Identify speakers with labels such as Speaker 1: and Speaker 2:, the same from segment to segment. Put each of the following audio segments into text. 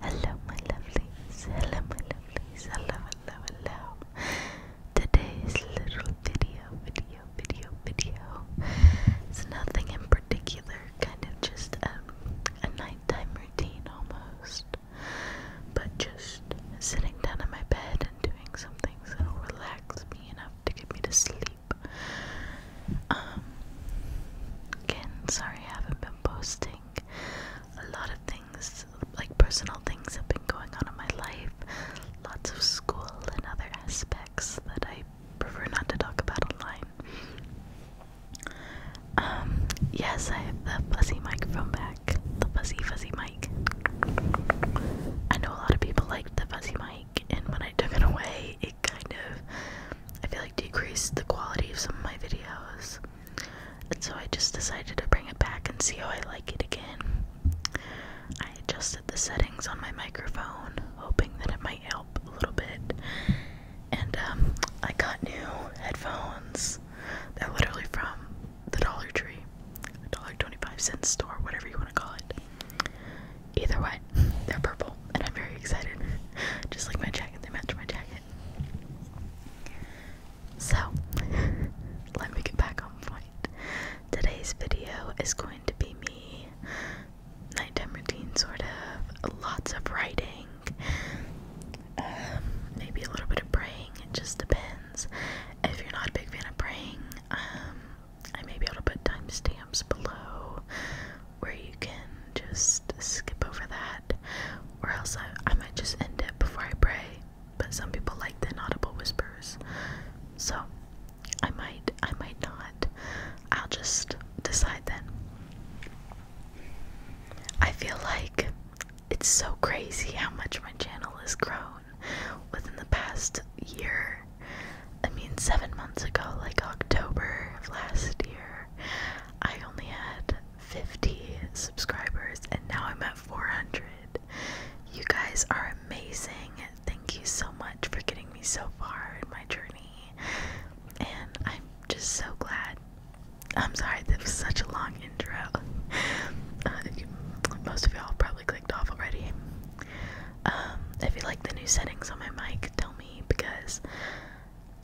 Speaker 1: Hello, my lovelies. Hello, my lovelies. Hello, hello, hello. Today's little video, video, video, video. It's nothing in particular, kind of just a, a nighttime routine almost. But just sitting down in my bed and doing something that'll relax me enough to get me to sleep. Um, again, sorry I haven't been posting. A lot of things, like personal things, have been going on in my life. Lots of school and other aspects that I prefer not to talk about online. Um, yes, I have the fuzzy mic from back. The fuzzy, fuzzy mic. I know a lot of people liked the fuzzy mic, and when I took it away, it kind of I feel like decreased the quality of some of my videos. And so I just decided to bring it back and see how I like it again. I adjusted the settings on my microphone, hoping that it might help a little bit. And um, I got new headphones. They're literally from the Dollar Tree, dollar twenty-five cent store, whatever you want to call it. Either way, they're purple, and I'm very excited. Just like my jacket, they match my jacket. So, let me get back on point. Today's video is going to be me, nighttime routine, sort of, lots of writing, um, maybe a little bit of praying, it just depends. If you're not a big fan of praying, um, I may be able to put timestamps below where you can just skip over that, or else I, I might just end it before I pray. But some people like the inaudible whispers, so I might, I might not. I'll just decide then. I feel like it's so crazy how much my channel has grown within the past year. I mean, seven months ago, like October of last year, I only had 50 subscribers and now I'm at 400. You guys are amazing. Thank you so much for getting me so far in my journey. And I'm just so glad. I'm sorry, that was such a long intro. Uh, most of y'all probably clicked off already. Um, if you like the new settings on my mic, tell me because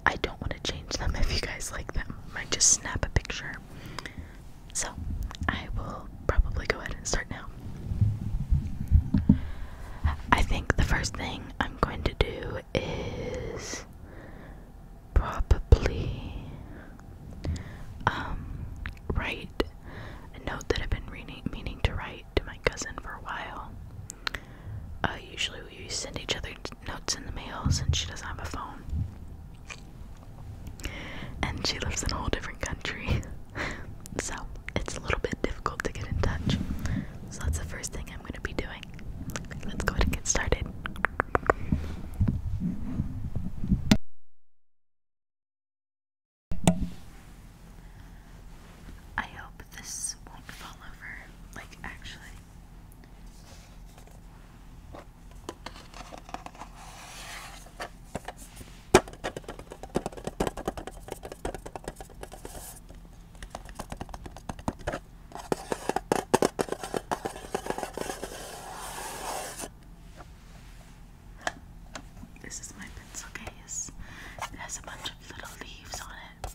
Speaker 1: I don't want to change them if you guys like them. I might just snap a picture. So, I will probably go ahead and start now. I think the first thing I'm going to do is probably um write a note that I've been reading, meaning to write to my cousin for a while. Uh, usually we send each other notes in the mails, and she doesn't have a phone. And she lives in a whole different country. so it's a little bit difficult to get in touch. So that's the first thing I'm going to be doing. Let's go ahead and get started. I hope this won't fall over. Like, actually, this is my pencil case. It has a bunch of little leaves on it.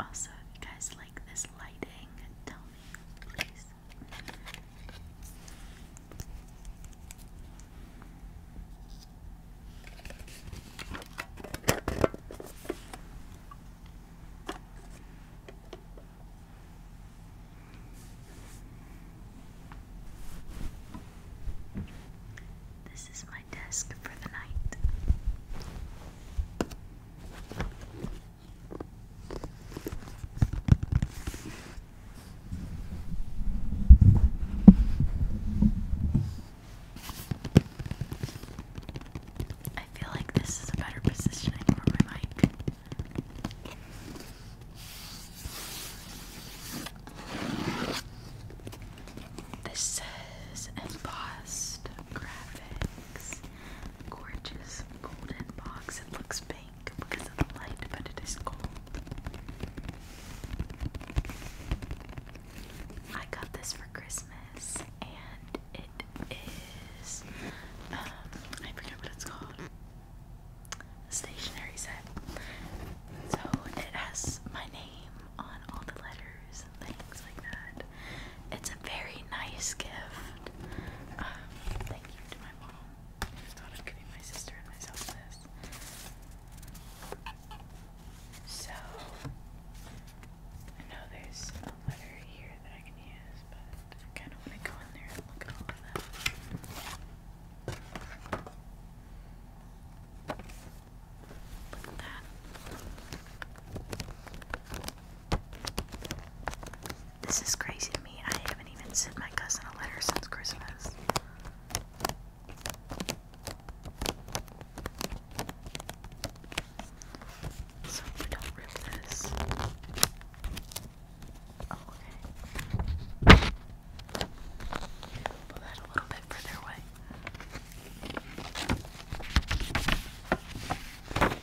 Speaker 1: Also, you guys like this lighting, tell me, please. This is my desk for the night. I feel like this is a better positioning for my mic. This says embossed graphics. Gorgeous golden box. It looks big because of the light, but it is cold. I got this for Christmas and it is um, I forget what it's called. Stationery set. So it has my name on all the letters and things like that. It's a very nice gift. Um, thank you to my mom. I've giving my sister and myself this. So, I know there's a letter here that I can use, but I kind of want to go in there and look at all of them. This is crazy to me. I haven't even sent my cousin a letter since Christmas. So don't rip this. Oh, okay. Pull that a little bit further away.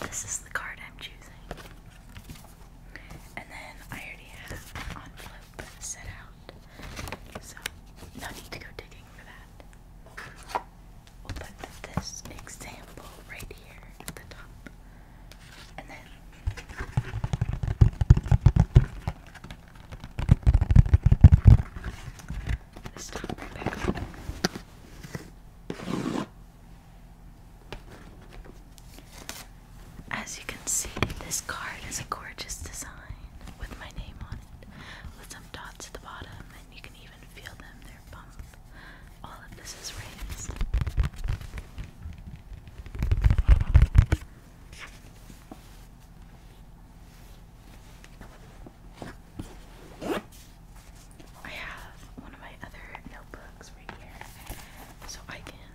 Speaker 1: This is the card I'm choosing. And then I already have an envelope set out. So no need to go digging for that. We'll put this example right here at the top. And then Let's stop right back As you can see, this card is a gorgeous design with my name on it, with some dots at the bottom, and you can even feel them, they're bump. All of this is raised. I have one of my other notebooks right here, so I can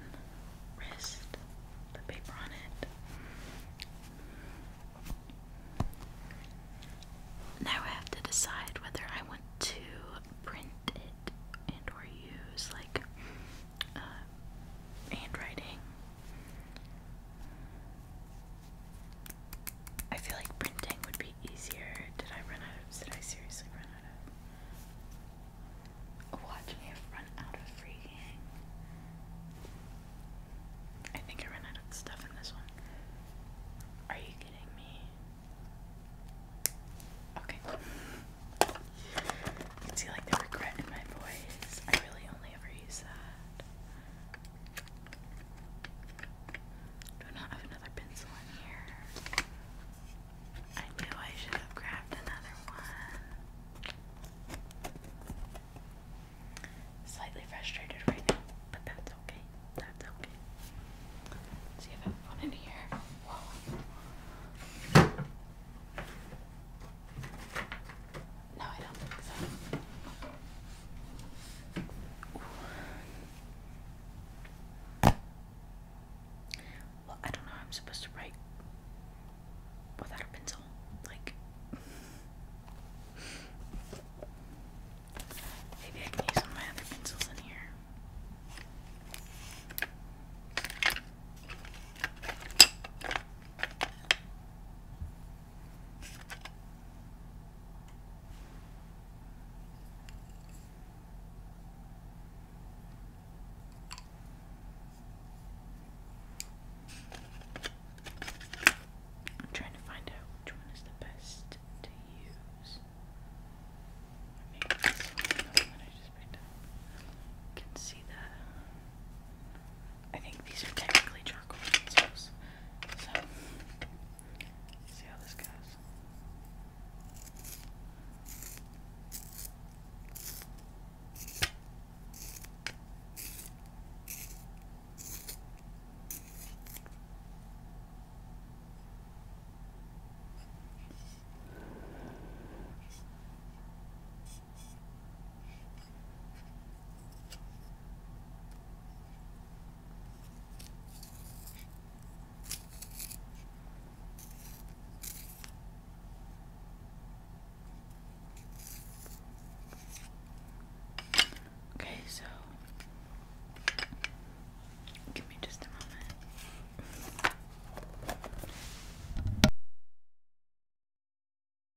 Speaker 1: rest the paper on it. Now I have to decide whether I want to print it and or use like uh, handwriting. I feel like printing would be easier. Did I run out of? Did I seriously run out Watch me run out of freaking. I think I ran out of stuff in this one. Are you kidding me? Okay. You can see like the regret in my voice. I really only ever use that. Do not have another pencil in here. I knew I should have grabbed another one. Slightly frustrated right now, but that's okay. That's okay. Let's see if I have one in here. No, I don't think so. Well, I don't know how I'm supposed to write without a pencil. Like, maybe I can use one of my other pencils in here. I'm trying to find out which one is the best to use. You can see the I think these are technically charcoal pencils. So, see how this goes. Okay, so give me just a moment.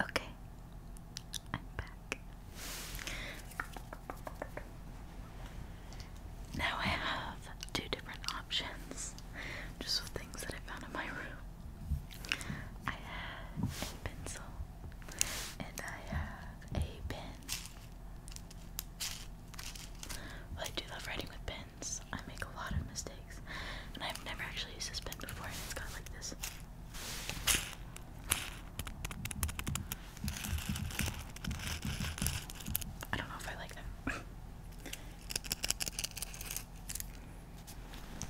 Speaker 1: Okay, I'm back. Now I have two different options just with things that I found in my room. I have a pencil and I have a pen. Well, I do love writing with pens. I make a lot of mistakes. And I've never actually used this pen before and it's got like this I don't know if I like that.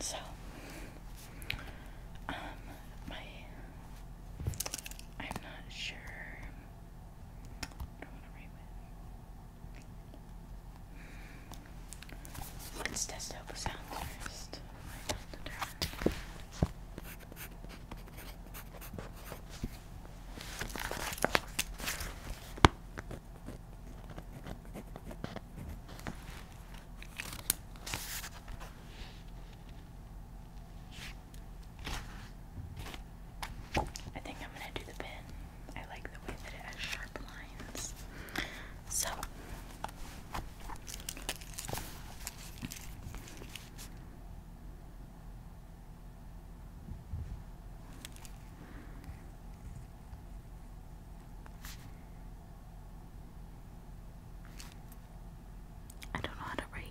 Speaker 1: so, um, my. I'm not sure. Let's test out sound first. I think I'm going to do the pin. I like the way that it has sharp lines. So I don't know how to write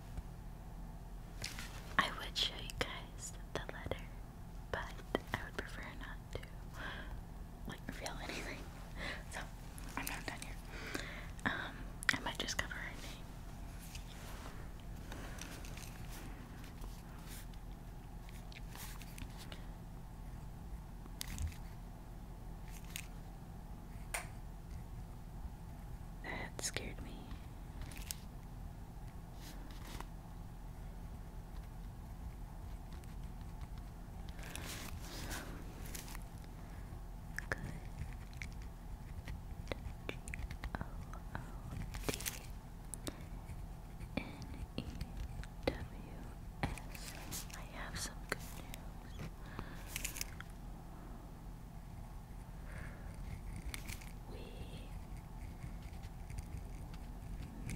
Speaker 1: I would show you guys the letter, but I would prefer not to like reveal anything. So I'm not done here. Um, I might just cover her name. That scared me. G O O D N E W S. I have some good news we may be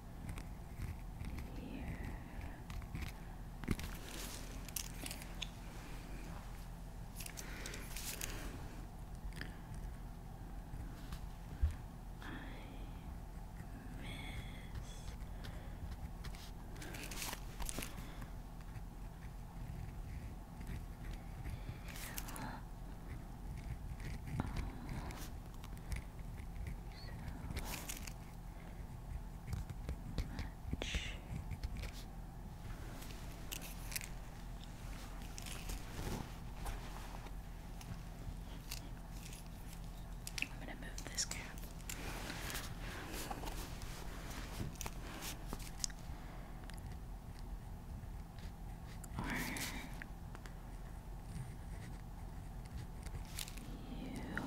Speaker 1: here. I miss you too much. I'm gonna move this cap. Or you still enjoy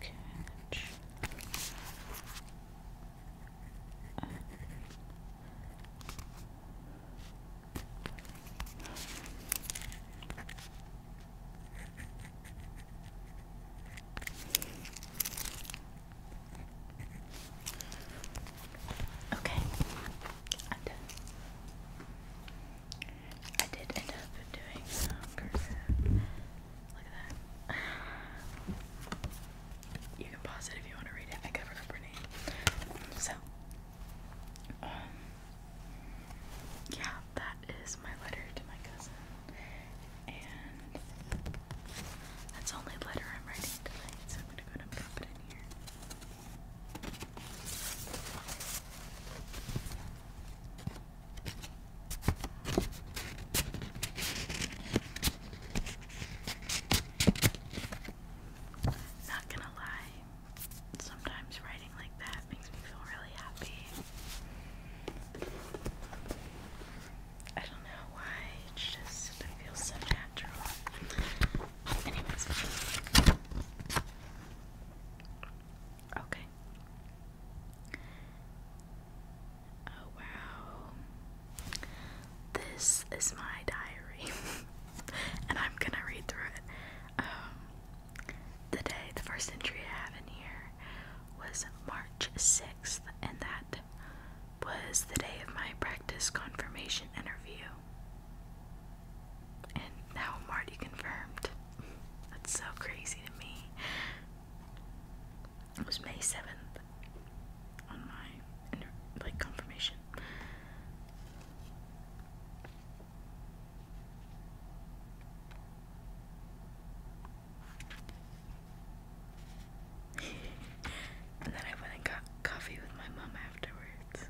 Speaker 1: Catch. Okay, I'm done. I did end up doing some cursive. Look at that. You can pause it if you want to read it. I covered up her name. So, um, yeah, that is my letter to my cousin. And that's only letter I'm writing tonight, so I'm gonna go and drop it in here. Not gonna lie, sometimes writing like that makes me feel really happy. I don't know why, it's just, feels so natural. Anyways. Okay. Oh wow. This is my diary. and I'm gonna read through it. Um, the day, the first entry I have in here was March 6th, and that was the day of my practice confirmation interview. And now I'm already confirmed. That's so crazy to me. It was May 7th on my like confirmation. and then I went and got coffee with my mom afterwards.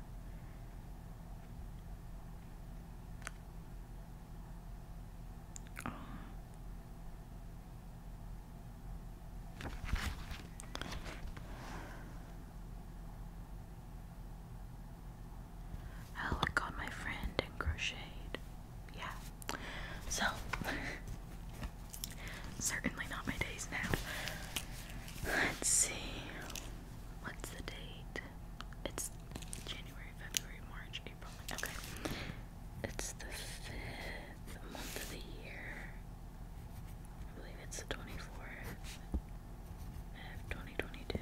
Speaker 1: Oh. Helen called my friend and crocheted. Yeah. So, certainly not my days now. Let's see. What's the date? It's January, February, March, April. Okay. It's the fifth month of the year. I believe it's the 24th of 2022.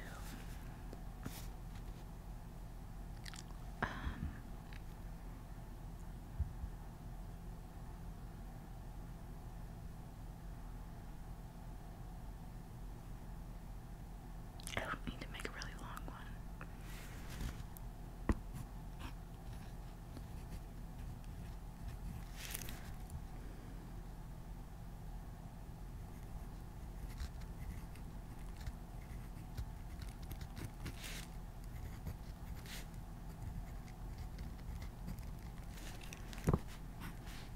Speaker 1: Um, I don't need to make a really long one.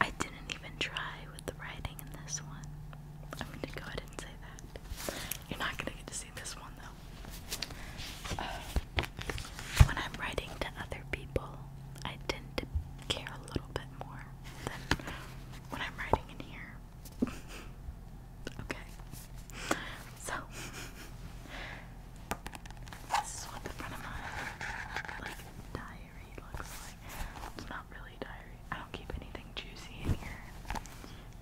Speaker 1: I didn't even try with the writing in this one. I'm going to go ahead and say that. You're not gonna get to see this one though. Uh, when I'm writing to other people, I tend to care a little bit more than when I'm writing in here. okay. So this is what the front of my diary looks like. It's not really diary. I don't keep anything juicy in here.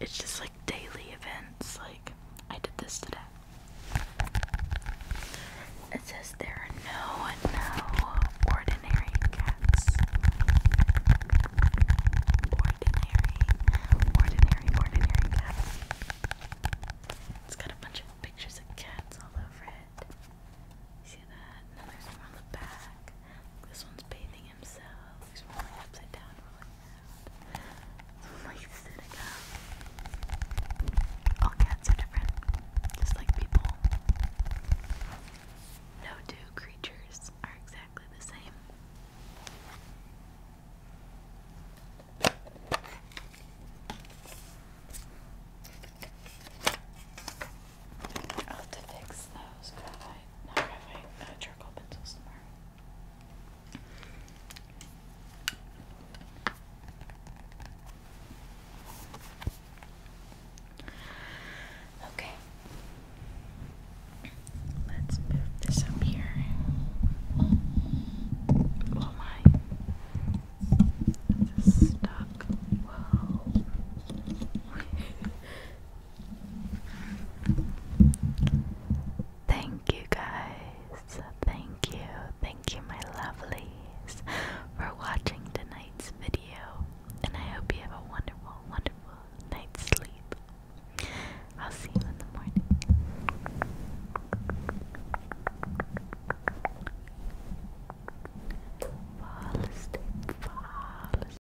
Speaker 1: It's just like daily events. Like I did this today. It says there are no no ordinary cats. Ordinary, ordinary, ordinary cats. It's got a bunch of pictures of cats all over it. see that? And there's one on the back. This one's bathing himself. He's rolling upside down, rolling around. All cats are different, just like people. No two creatures are exactly the same. I'll have to fix those graphite, not graphite, uh, charcoal pencils tomorrow. Okay, let's move this up here. Oh my, it's stuck. Whoa. Thank you guys. Thank you. Thank you, my lovelies, for watching tonight's video. And I hope you have a wonderful, wonderful night's sleep. I'll see you in the morning. Fall asleep, fall asleep.